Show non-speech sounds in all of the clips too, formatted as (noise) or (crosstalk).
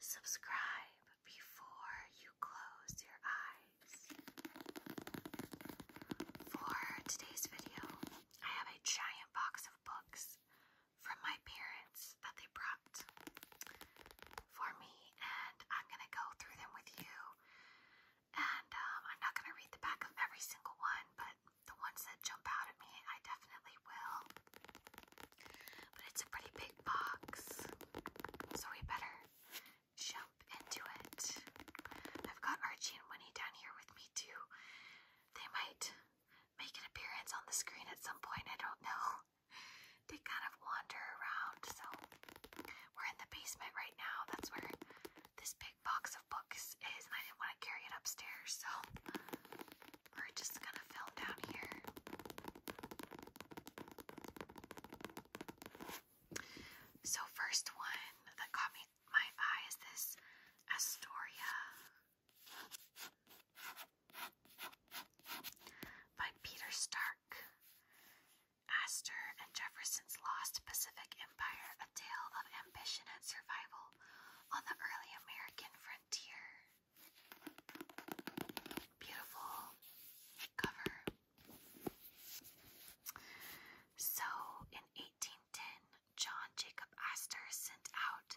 Subscribe before you close your eyes. For today's video, I have a giant box of books from my parents that they brought for me, and I'm gonna go through them with you. And um, I'm not gonna read the back of every single one, but the ones that jump out at me, I definitely will. But it's a pretty big box, so we better jump into it. I've got Archie and Winnie down here with me too. They might make an appearance on the screen at some point, I don't know. They kind of wander around, so we're in the basement right now. That's where this big box of books is, and I didn't want to carry it upstairs, so we're just gonna film down here. So first one that caught me my eye is this Astoria by Peter Stark. Astor and Jefferson's Lost Pacific Empire, a tale of ambition and survival on the early American frontier beautiful cover. So, in 1810, John Jacob Astor sent out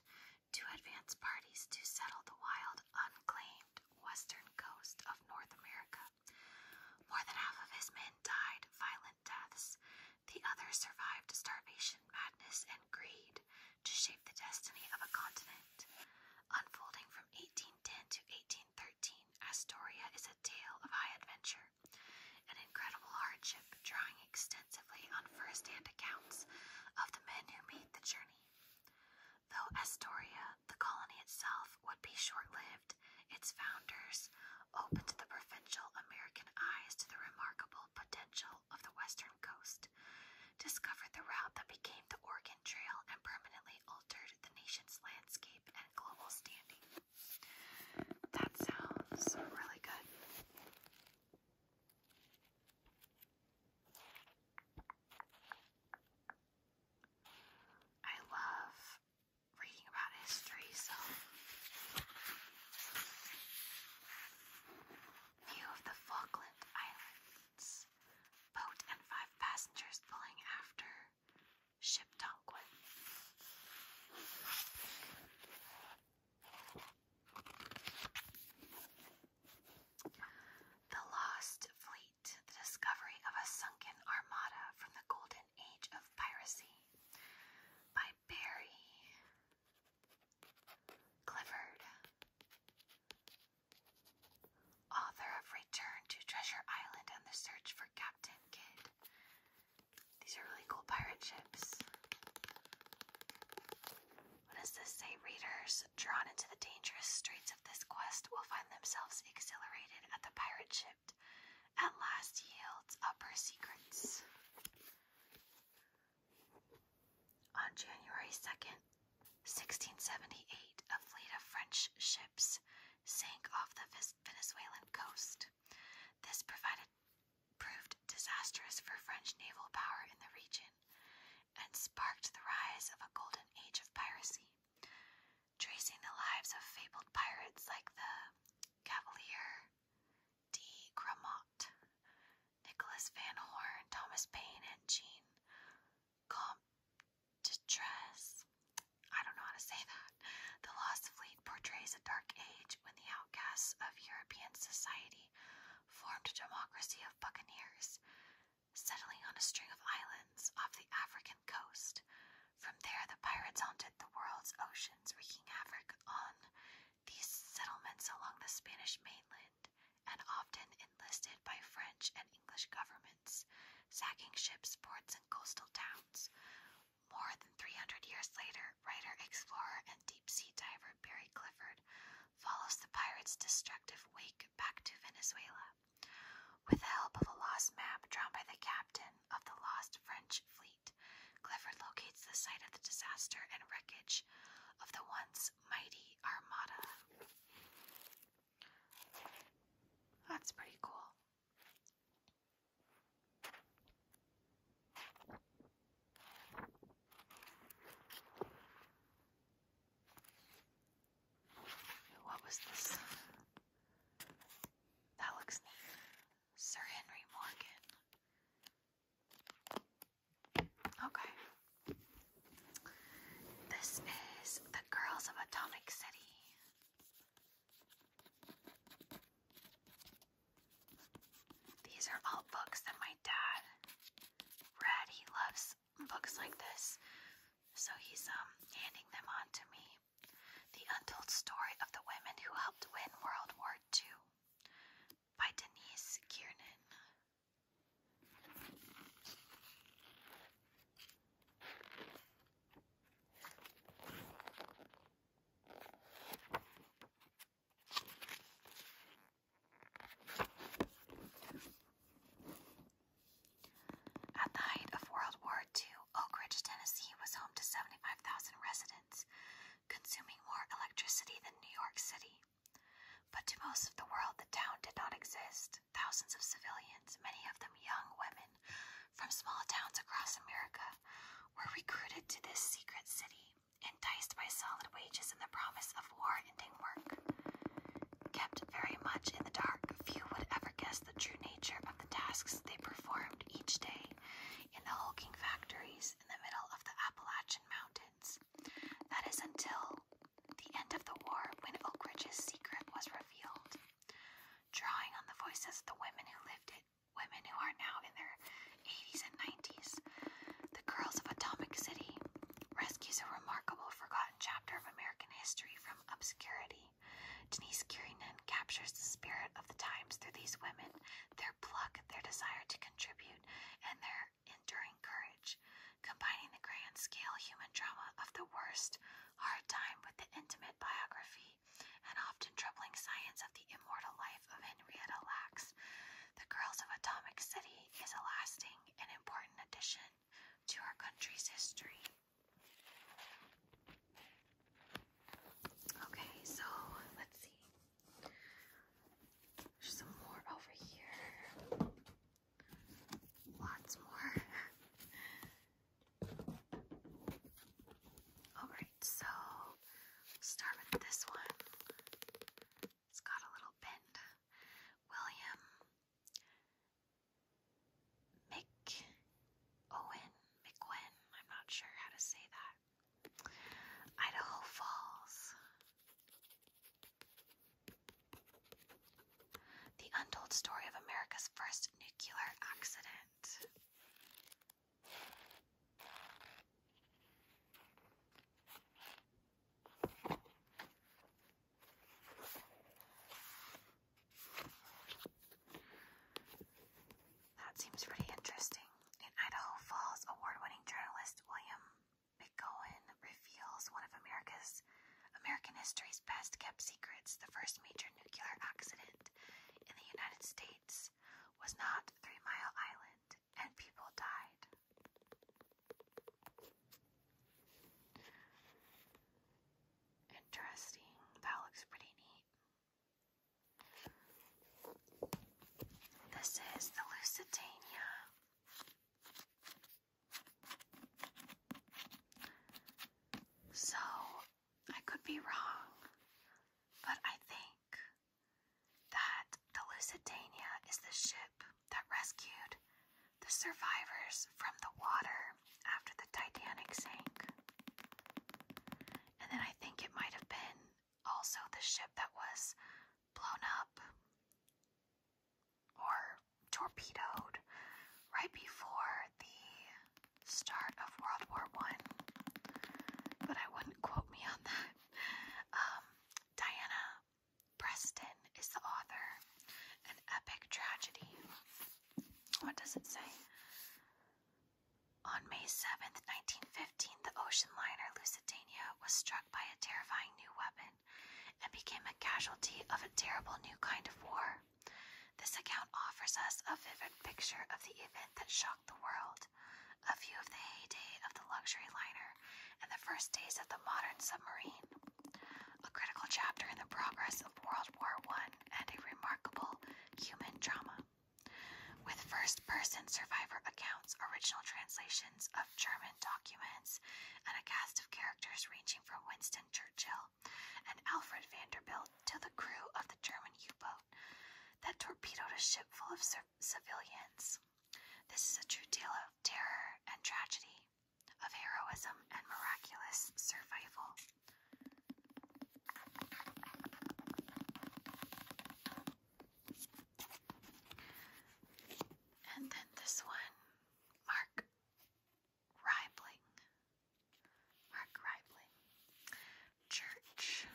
two advance parties to settle the wild, unclaimed western coast of North America. More than half of his men died violent deaths. The others survived starvation, madness, and greed to shape the destiny of a continent. Unfolding from 1810 to 1813, Astoria is a tale of high adventure and incredible hardship, drawing extensively on first hand accounts of the men who made the journey. Though Astoria, the colony itself, would be short lived, its founders opened the provincial American eyes to the remarkable potential of the Western coast, discovered the route that became the Oregon Trail and permanently altered the nation's landscape and global standing. That sounds really good. I love reading about history, so view of the Falkland Islands. Boat and five passengers pulling after. Ship Tonquin. The Lost Fleet, the discovery of a sunken armada from the golden age of piracy by Barry Clifford Author of Return to Treasure Island and the Search for Captain Kidd. These are really cool pirate ships. What does this say? Readers drawn into the dangerous straits of this quest will find themselves exhilarated at the pirate ship at last yields up her secrets. On January 2nd, 1678, a fleet of French ships sank off the Venezuelan coast. This provided, proved disastrous for French naval power in the region and sparked the rise of a golden age of piracy. Tracing the lives of fabled pirates like the Cavalier de Grammont, Nicholas Van Horn, Thomas Paine, and Jean Comptras. I don't know how to say that. The Lost Fleet portrays a dark age when the outcasts of European society formed a democracy of buccaneers, settling on a string of islands off the African coast. From there, the pirates haunted the world's oceans, wreaking havoc on these settlements along the Spanish mainland, and often enlisted by French and English governments, sacking ships, ports, and coastal towns. More than 300 years later, writer, explorer, and deep sea diver Barry Clifford follows the pirates' destructive wake back to Venezuela. With the help of a lost map drawn by the captain of the lost French fleet, Clifford locates the site of the disaster and wreckage of the once mighty armada. That's pretty cool. What was this? That looks neat. Sir Henry Morgan. Okay. This is The Girls of Atomic City. These are all books that my dad read. He loves books like this. So he's um handing them on to me. The Untold Story of the Women Who Helped Win World War II by Denise Kiernan. At the height of World War II, Oak Ridge, Tennessee was home to 75,000 residents, consuming more electricity than New York City. But to most of the world, the town did not exist. Thousands of civilians, many of them young women from small towns across America, were recruited to this secret city, enticed by solid wages and the promise of war ending work. Kept very much in the dark, few would ever guess the true nature of the tasks they performed each day in the hulking factories in the middle of the Appalachian Mountains, that is until the end of the war when Oak Ridge's secret was revealed. Drawing on the voices of the women who lived it, women who are now in their 80s and 90s, the Girls of Atomic City rescues a remarkable forgotten chapter of American history from obscurity. Denise Kirinan captures the spirit of the times through these women, their pluck, their desire to contribute, and their enduring courage, combining the grand scale human drama of the worst hard time with the intimate biography and often troubling science of the immortal life of Henrietta Lacks. The Girls of Atomic City is a lasting and important addition to our country's history. Okay, so let's see. There's some more over here. Lots more. Alright, so start with this one. It's got a little bend. William Mick Owen. McGwen. I'm not sure how to say that. Idaho Falls. The untold story of America's first nuclear accident. That seems pretty interesting. In Idaho Falls, award winning journalist William McGowan reveals one of America's American history's best kept secrets. The first major nuclear accident in the United States was not Three Mile Island, and people died. Interesting. That looks pretty neat. This is the Lusitania. So, I could be wrong, but I think that the Lusitania is the ship that rescued the survivors from the water after the Titanic sank. And then I think it might have been also the ship that was blown up or torpedoed right before the start of World War One. But I wouldn't quote me on that. Um, Diana Preston is the author. An epic tragedy. What does it say? On May 7th, nineteen fifty the ocean liner Lusitania was struck by a terrifying new weapon and became a casualty of a terrible new kind of war. This account offers us a vivid picture of the event that shocked the world, a view of the heyday of the luxury liner, and the first days of the modern submarine. A critical chapter in the progress of World War I and a remarkable human drama. With first person survivor accounts, original translations of German documents, and a cast of characters ranging from Winston Churchill and Alfred Vanderbilt to the crew of the German U boat that torpedoed a ship full of civilians. This is a true tale of terror and tragedy, of heroism and miraculous survival. And then this one, Mark Ribling. Mark Ribling. Church.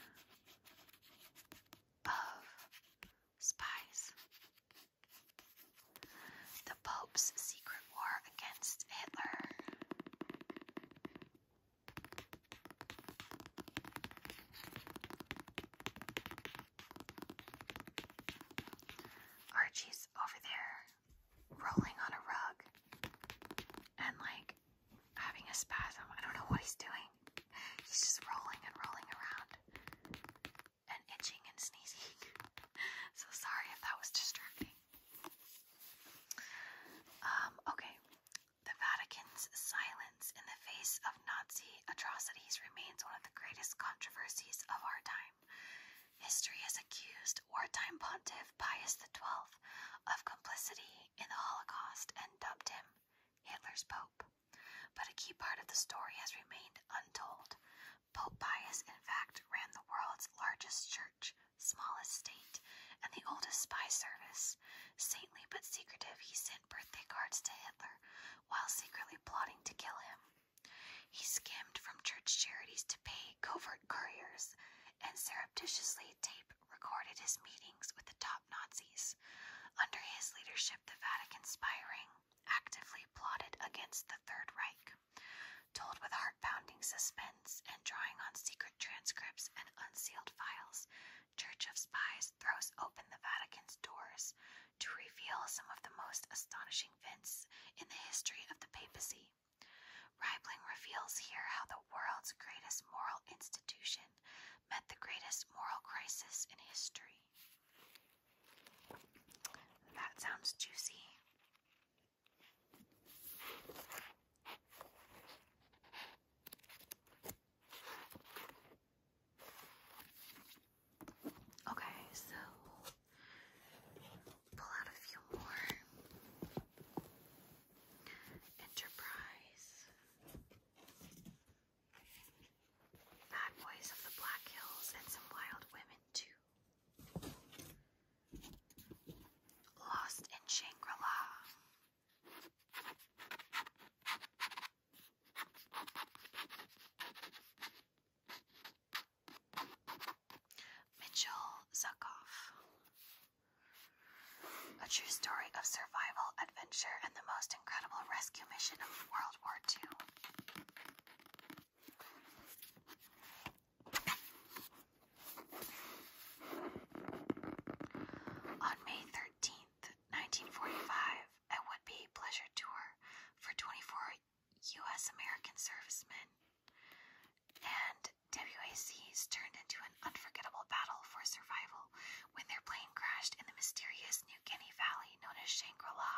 Pove. Spies. The Pope's secret war against Hitler. Archie's over there rolling on a rug and like having a spasm. I don't know what he's doing. He's just rolling and rolling around and itching and sneezing. (laughs) so sorry if that was distracting. Um, okay, the Vatican's silence in the face of Nazi atrocities remains one of the greatest controversies of our time. History has accused wartime pontiff Pius XII of complicity in the Holocaust and dubbed him Hitler's Pope. But a key part of the story has remained untold. Pope Pius, in fact, ran the world's largest church, smallest state, and the oldest spy service, Saintly but secretive, he sent birthday cards to Hitler while secretly plotting to kill him. He skimmed from church charities to pay covert couriers and surreptitiously tape recorded his meetings with the top Nazis. Under his leadership, the Vatican spying actively plotted against the Third Reich. Told with heart pounding suspense and drawing on secret transcripts and unsealed files, Church of Spies throws open the Vatican's doors to reveal some of the most astonishing events in the history of the papacy. Reibling reveals here how the world's greatest moral institution met the greatest moral crisis in history. That sounds juicy. Okay, so pull out a few more. Enterprise. Bad boys of the Black Hills and some wild women too. Lost in Shangri-La. Mitchell Zuckoff. A true story of survival, adventure, and the most incredible rescue mission of World War II. On May 13th, 1945, a would-be pleasure tour for 24 U.S. American servicemen, and WACs turned into an unforgettable battle for survival when their plane crashed in the mysterious New Guinea Valley known as Shangri-La.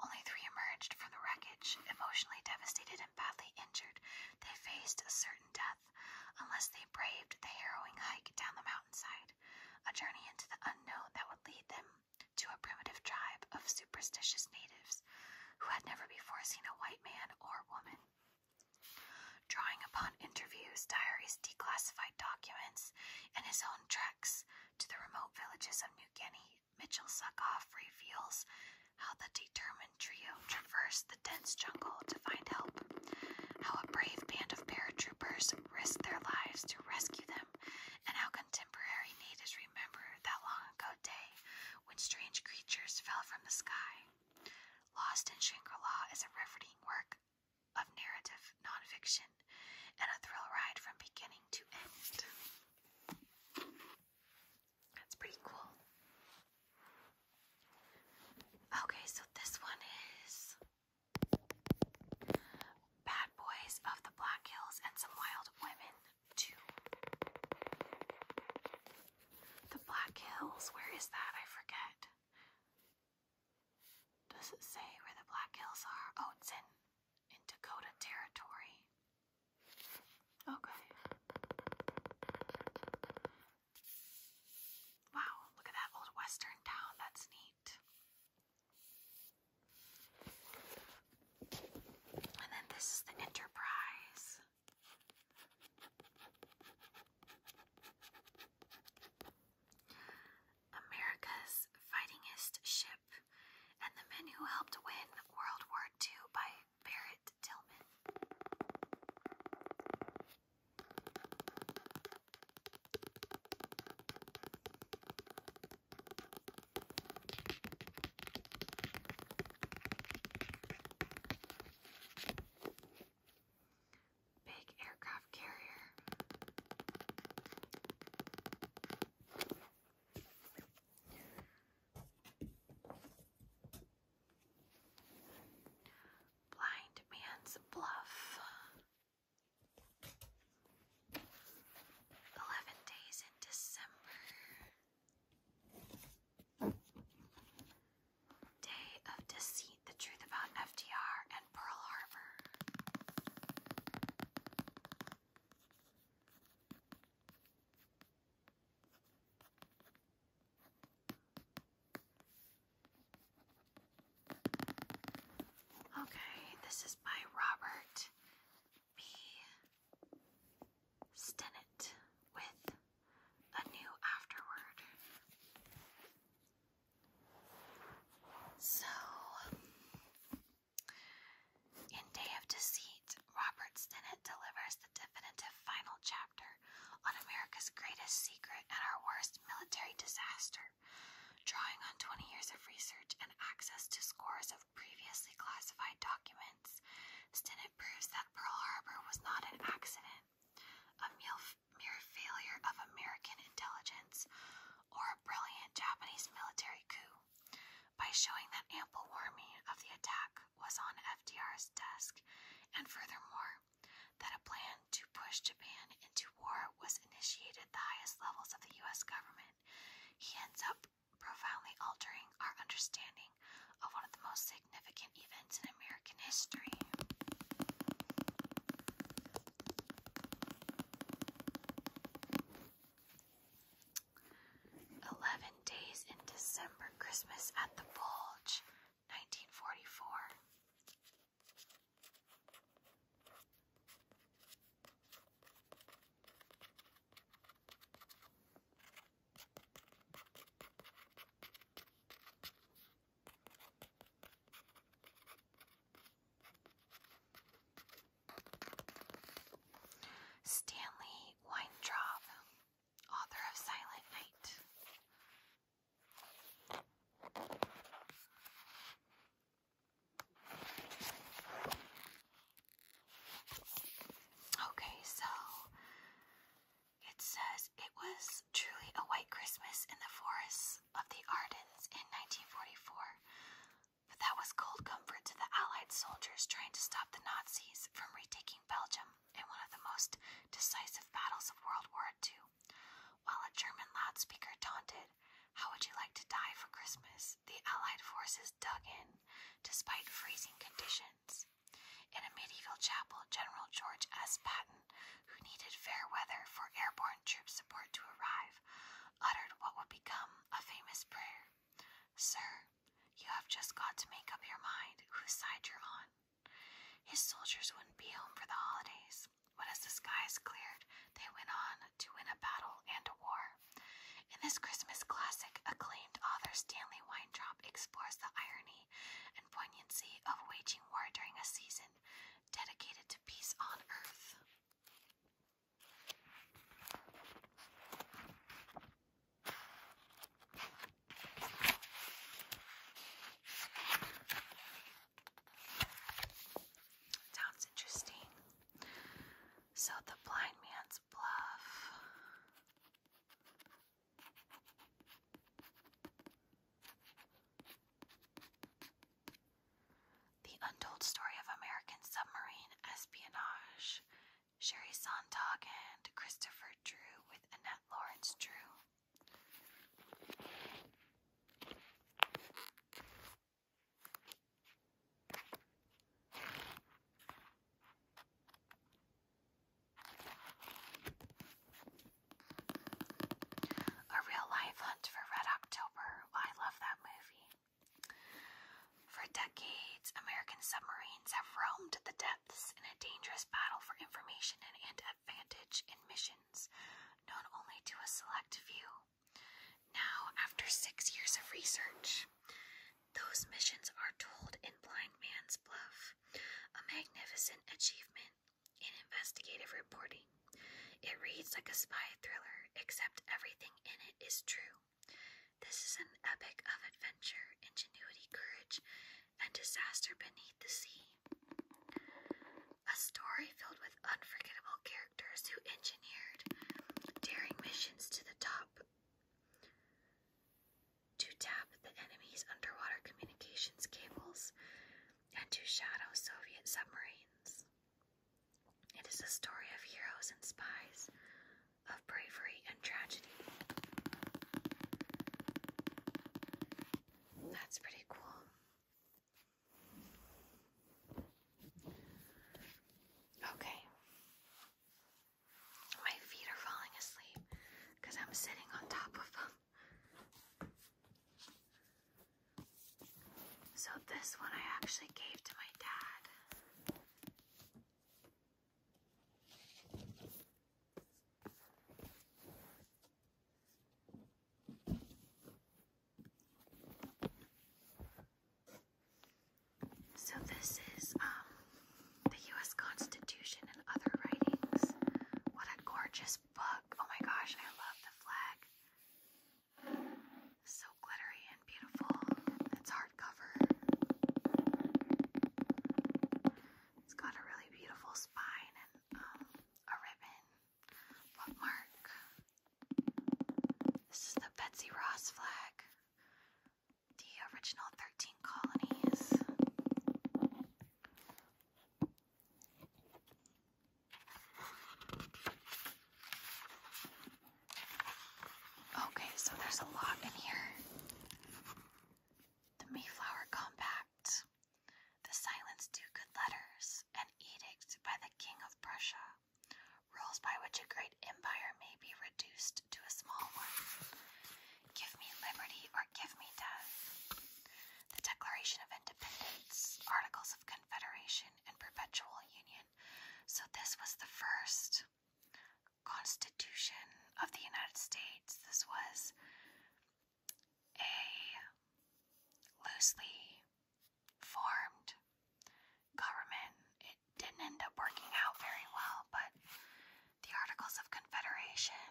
Only three emerged from the wreckage, emotionally devastated and badly injured. They faced a certain death unless they braved the harrowing hike down the mountainside, a journey into the unknown that would lead them to a primitive tribe of superstitious natives who had never before seen a white man or woman. Drawing upon interviews, diaries, declassified documents, and his own treks to the remote villages of New Guinea, Mitchell Suckoff reveals how the determined trio traversed dense jungle to find help, how a brave band of paratroopers risked their lives to rescue them, and how contemporary natives remember that long ago day when strange creatures fell from the sky. Lost in Shangri La is a riveting work of narrative nonfiction and a thrill ride from beginning to end. That's pretty cool. Okay, so this one is Bad Boys of the Black Hills and Some Wild Women 2. The Black Hills, where is that? I forget. Does it say where the Black Hills are? Oh, it's in, in Dakota Territory. Okay. Wow, look at that old western town. That's neat. And then this is the Enterprise. America's fightingest ship and the men who helped win World War II by Barrett Tillman. Big aircraft carrier. Blind Man's Bluff. Eleven Days in December. Day of Deceit, The Truth About FDR and Pearl Harbor. Okay, this is by Robert B. with a new afterword. So, in Day of Deceit, Robert Stennett delivers the definitive final chapter on America's greatest secret and our worst military disaster, drawing on 20 years of research and access to scores of previously classified documents. Stinnett proves that Pearl Harbor was not an accident, a mere failure of American intelligence, or a brilliant Japanese military coup. By showing that ample warning of the attack was on FDR's desk, and furthermore, that a plan to push Japan into war was initiated at the highest levels of the U.S. government, he ends up profoundly altering our understanding of one of the most significant events in American history. Eleven days in December, Christmas at the Bulge, 1944. Stanley Weintraub, author of Silent Night, Okay, so it says it was truly a white Christmas in the forests of the Ardens in 1944, but that was cold comfort to the Allied soldiers trying to stop the Nazis from retaking Belgium in one of the most decisive battles of World War II, while a German loudspeaker taunted, How would you like to die for Christmas? the Allied forces dug in despite freezing conditions. In a medieval chapel, General George S. Patton, who needed fair weather for airborne troop support to arrive, uttered what would become a famous prayer Sir, you have just got to make up your mind whose side you're on. His soldiers wouldn't be home for the holidays, but as the skies cleared, they went on to win a battle and a war. In this Christmas classic, acclaimed author Stanley Weintraub explores the irony and poignancy of waging war during a season dedicated to peace on earth. Sounds interesting. So the blind man's bluff. The Untold Story of American Submarine Espionage. Sherry Sontag and Christopher Drew with with Annette Lawrence Drew. A Real Life Hunt for Red October. I love that movie. For decades, American submarines have roamed the depths in a dangerous battle for information and advantage in missions known only to a select few. Now, after six years of research, those missions are told in Blind Man's Bluff, a magnificent achievement in investigative reporting. It reads like a spy thriller, except everything in it is true. This is an epic of adventure, ingenuity, courage, and disaster beneath the sea. A story filled with unforgettable characters who engineered daring missions to the top to tap the enemy's underwater communications cables and to shadow Soviet submarines. It is a story of heroes and spies, bravery and tragedy. That's pretty cool. Okay. My feet are falling asleep because I'm sitting on top of them. So, this one I actually gave to my dad. So this is um, the US Constitution and other writings. What a gorgeous book. Oh my gosh, I love the flag. So glittery and beautiful. It's hardcover. It's got a really beautiful spine and um, a ribbon bookmark. This is the Betsy Ross flag. The original 13 colonies. Okay, so there's a lot in here the Mayflower Compact, the Silence to Good Letters, an edict by the King of Prussia, rules by which a great empire may be reduced to a small one. Give me liberty or give me death. The Declaration of Independence, Articles of Confederation, and Perpetual Union. So, this was the first Constitution of the United States. This was a loosely formed government. It didn't end up working out very well, but the Articles of Confederation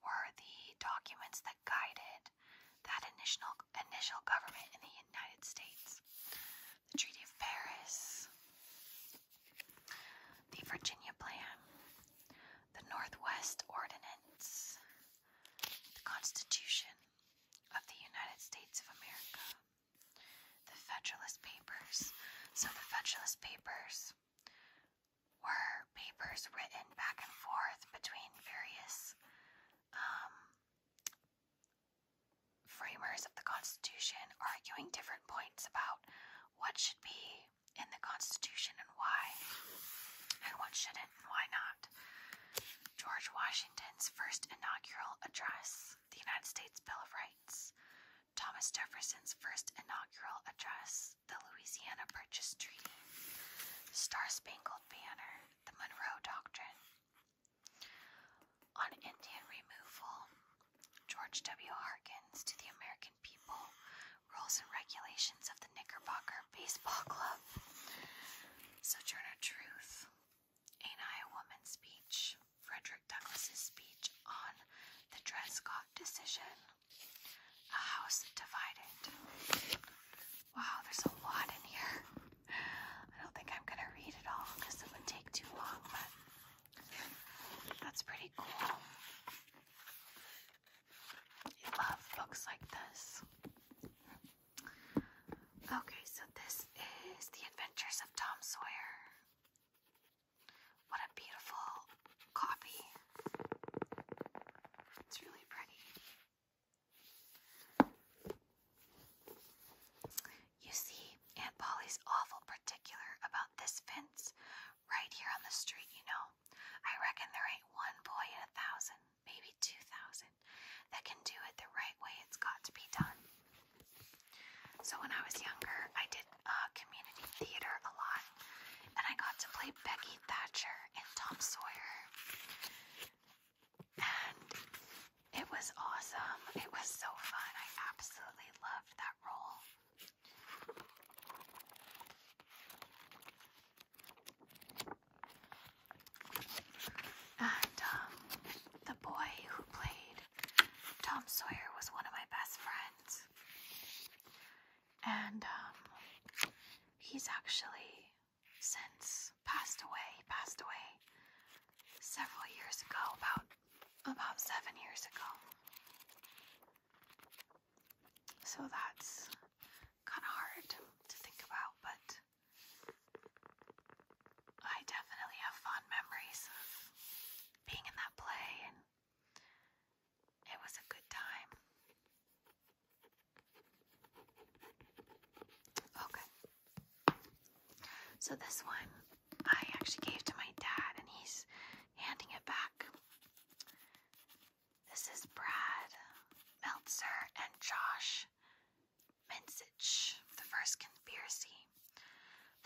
were the documents that guided that initial initial government in the United States. The Treaty of Paris, the Virginia Plan, the Northwest Ordinance, the Constitution of the United States of America, the Federalist Papers. So the Federalist Papers were papers written back and forth between various um, framers of the Constitution arguing different points about what should be in the Constitution and why, and what shouldn't and why not. George Washington's first inaugural address, the United States Bill of Rights. Thomas Jefferson's first inaugural address, the Louisiana Purchase Treaty. Star Spangled Banner, the Monroe Doctrine. On Indian removal, George W. Harkins to the American people, rules and regulations of the Knickerbocker Baseball Club, Sojourner Truth, Ain't Woman speech, Frederick Douglass's speech on the Dred Scott decision, A House Divided. Wow, there's a lot in here. I don't think I'm gonna read it all because it would take too long, but that's pretty cool. I love books like this. Okay, so this is The Adventures of Tom Sawyer. What a beautiful copy. It's really pretty. You see, Aunt Polly's awful particular about this fence right here on the street, you know. I reckon there ain't one boy in a thousand, maybe two thousand, that can do it the right way it's got to be done. So when I was younger, I did a uh, community theater a lot, and I got to play Becky Thatcher in Tom Sawyer, and it was awesome. It was so fun. I absolutely loved that. And um, the boy who played Tom Sawyer was one of my best friends. And um, he's actually since passed away. passed away several years ago, about about seven years ago. So that's kind of hard to think about, but I definitely have fond memories of being in that play, and it was a good time. Okay. So this one I actually gave to my dad, and he's handing it back. This is Brad Meltzer and Josh Minsich, the first conspiracy.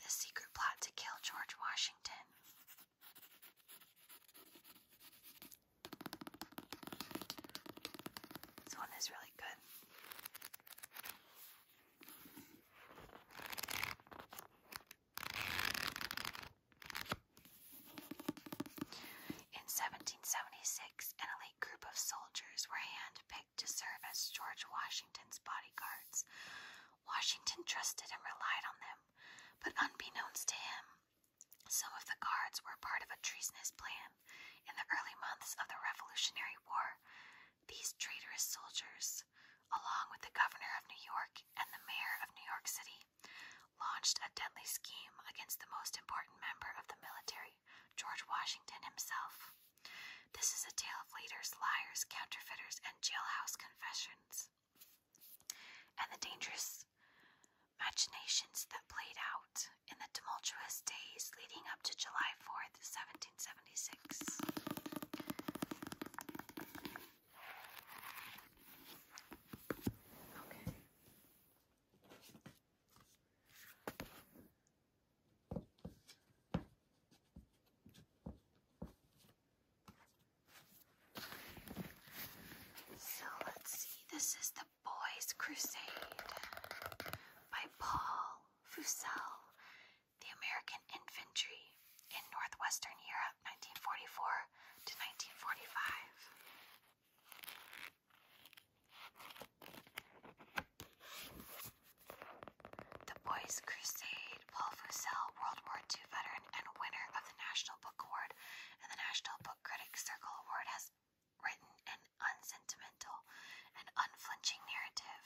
The secret plot to kill George Washington. This one is really good. In 1776, an elite group of soldiers were hand-picked to serve as George Washington's bodyguards. Washington trusted and relied on them, but unbeknownst to him, some of the guards were part of a treasonous plan. In the early months of the Revolutionary War, these traitorous soldiers along with the governor of New York and the mayor of New York City, launched a deadly scheme against the most important member of the military, George Washington himself. This is a tale of leaders, liars, counterfeiters, and jailhouse confessions, and the dangerous machinations that played out in the tumultuous days leading up to July 4th, 1976. So let's see, this is The Boys Crusade by Paul Fussell the American infantry in northwestern Europe 1944 to 1945. The Boys' Crusade, Paul Fussell, World War II veteran and winner of the National Book Award and the National Book Critics Circle Award, has written an unsentimental and unflinching narrative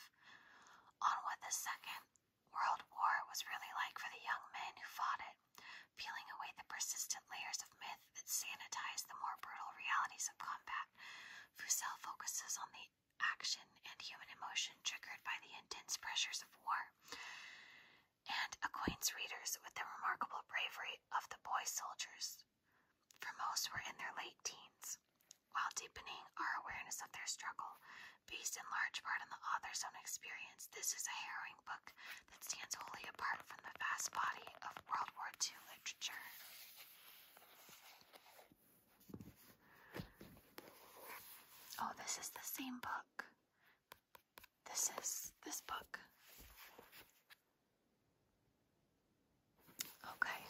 on what the Second World War was really like for the young men who fought it, peeling away the persistent layers of myth that sanitize the more brutal realities of combat. Fusel focuses on the action and human emotion triggered by the intense pressures of war, and acquaints readers with the remarkable bravery of the boy soldiers, for most were in their late teens. While deepening our awareness of their struggle, based in large part on the author's own experience, this is a harrowing book that stands wholly apart from the vast body of World War II literature. Oh, this is the same book. This is this book. Okay.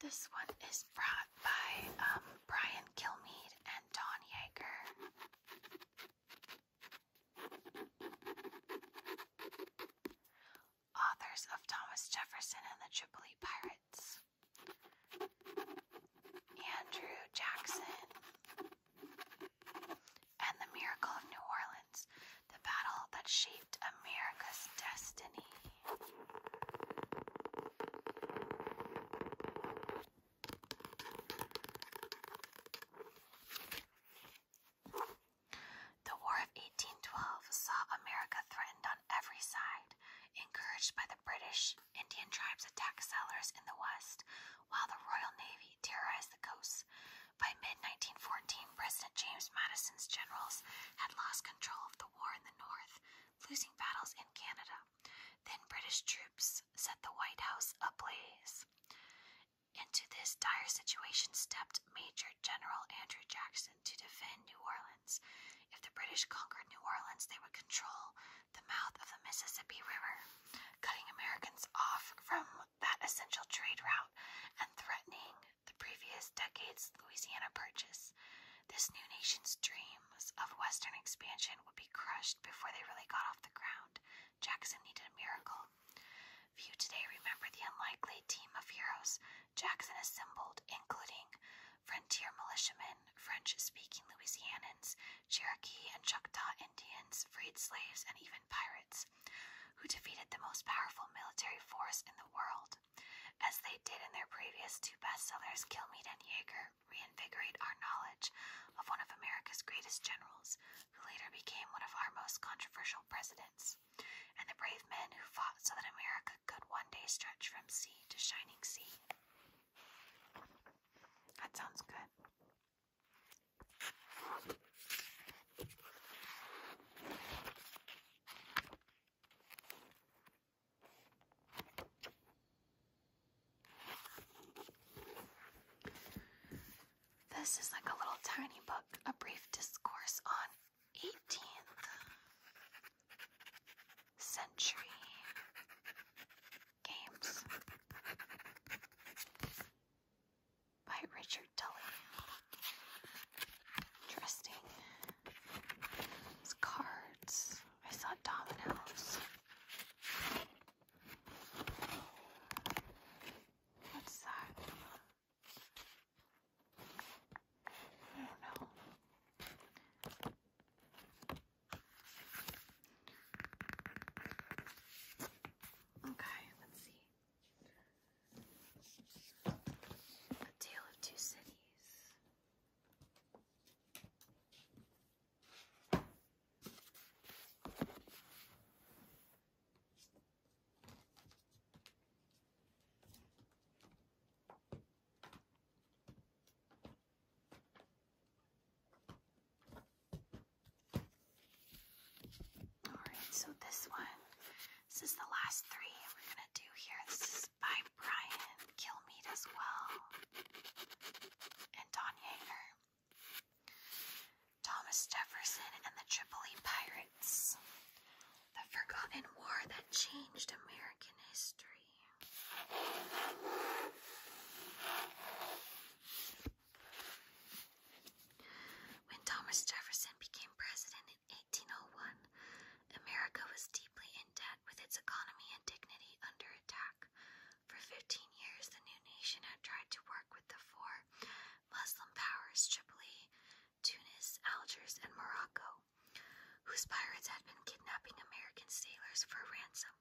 This one is brought by um, Brian Kilmeade and Don Yeager. Authors of Thomas Jefferson and the Tripoli Pirates. Andrew Jackson and the Miracle of New Orleans the battle that shaped America's destiny. The War of 1812 saw America threatened on every side, encouraged by the British. Indian tribes attacked settlers in the west, while the Royal Navy terrorized the coasts. By mid 1914, President James Madison's generals had lost control of the war in the North, losing battles in Canada. Then British troops set the White House ablaze. Into this dire situation stepped Major General Andrew Jackson to defend New Orleans. If the British conquered New Orleans, they would control the mouth of the Mississippi River, cutting Americans off from that essential trade route and threatening the previous decade's Louisiana Purchase. This new nation's dreams of Western expansion would be crushed before they really got off the ground. Jackson needed a miracle. Few today remember the unlikely team of heroes Jackson assembled, including frontier militiamen, French speaking Louisianans, Cherokee and Choctaw Indians, freed slaves, and even pirates, who defeated the most powerful military force in the world. As they did in their previous two bestsellers, Kilmeade and Yeager reinvigorate our knowledge of one of America's greatest generals, who later became one of our most controversial presidents, and the brave men who fought so that America could one day stretch from sea to shining sea. That sounds good. This is like a little tiny book, A Brief Discourse on 18th Century Games by Richard Tully. Interesting. These cards. I saw dominoes. What's that? I do Okay, let's see. A Tale of Two Cities. Alright, so this one, this is the last three we're gonna do here. This is by Brian Kilmeade as well, and Don Yeager, Thomas Jefferson, and the Tripoli Pirates. The forgotten war that changed American history. When Thomas Jefferson became president in 1801, America was deeply in debt with its economy and dignity under attack. For 15 years, the new nation had tried to work with the four Muslim powers, Tripoli, Tunis, Algiers, and Morocco, whose pirates had been kidnapping American sailors for ransom.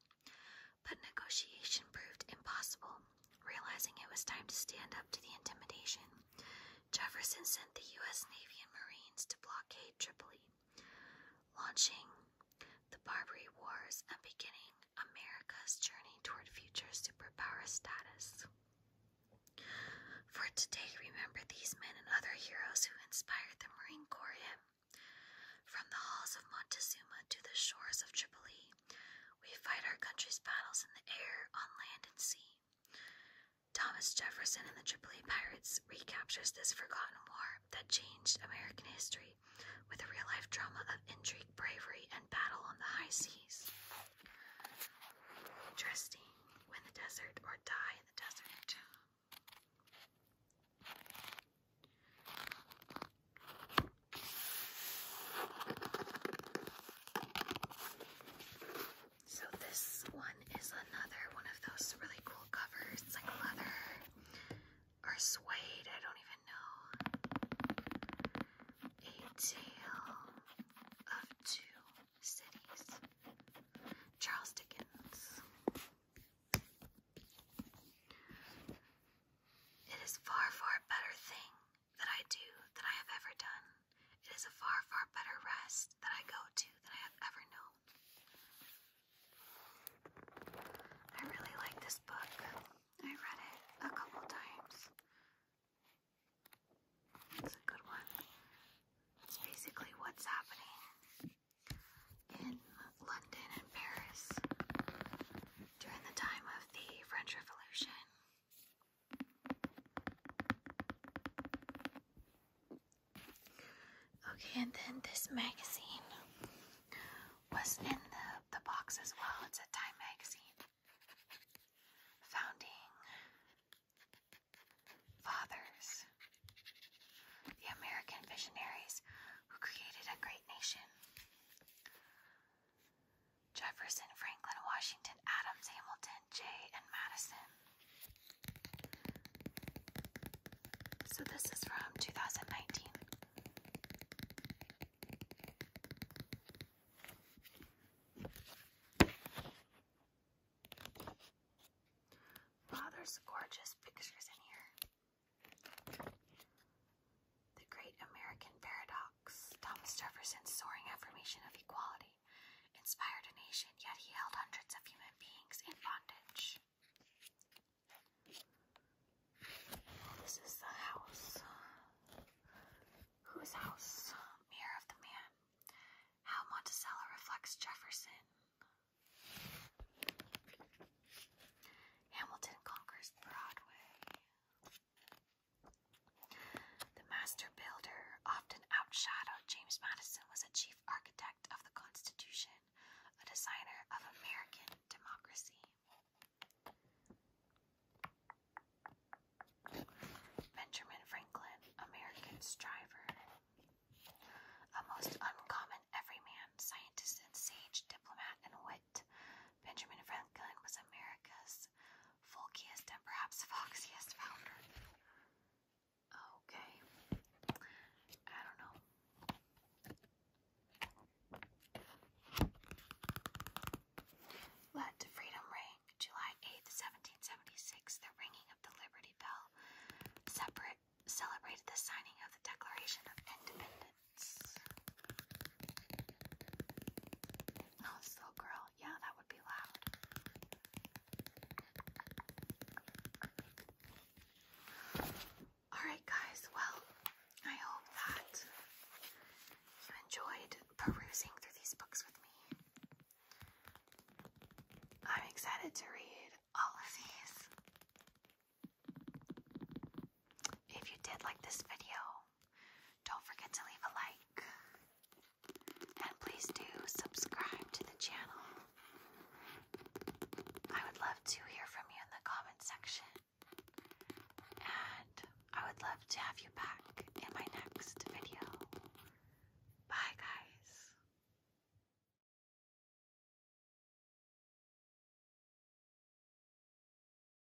But negotiation proved impossible. Realizing it was time to stand up to the intimidation, Jefferson sent the U.S. Navy and Marines to blockade Tripoli, launching the Barbary Wars and beginning America's journey toward future superpower status. For today, remember these men and other heroes who inspired the Marine Corps From the halls of Montezuma to the shores of Tripoli, we fight our country's battles in the air, on land, and sea. Thomas Jefferson and the Triple A Pirates recaptures this forgotten war that changed American history with a real life drama of intrigue, bravery, and battle on the high seas. Interesting. Win the desert or die in the desert. So this one is another one of those really cool covers. It's like leather or suede, I don't even know. A tale of two cities. Charles Dickens. It is far, far better thing that I do, that I have ever done. It is a far, far better rest that I go to than I have ever known. I really like this book. I read it a couple times. It's a good one. It's basically what's happening in London and Paris during the time of the French Revolution. Okay, and then this magazine was in the, the box as well. It's a Time magazine. Founding fathers, the American visionaries who created a great nation. Jefferson, Franklin, Washington, Adams, Hamilton, Jay, and Madison. So this is from 2019. Wow, there's gorgeous pictures in here. The Great American Paradox, Thomas Jefferson's soaring affirmation of equality, inspired a nation, yet he held hundreds of human beings in bondage. This is the house. Whose house? Mirror of the man. How Monticello reflects Jefferson. Hamilton conquers Broadway. The master builder often outshadowed James Madison was a chief architect of the Constitution, a designer of American democracy. Benjamin Franklin, American striver. A most uncommon everyman, scientist and sage, diplomat and Benjamin Franklin was America's folkiest and perhaps foxiest founder. Okay. I don't know. Let freedom ring. July 8th, 1776, the ringing of the Liberty Bell separate, celebrated the signing of the Declaration of Independence. Oh, so girl, yeah, that would be loud. Alright, guys, well, I hope that you enjoyed perusing through these books with me. I'm excited to read all of these. If you did like this video, don't forget to leave a like. And please do subscribe to the channel. I would love to hear from you in the comment section. And I would love to have you back in my next video. Bye, guys.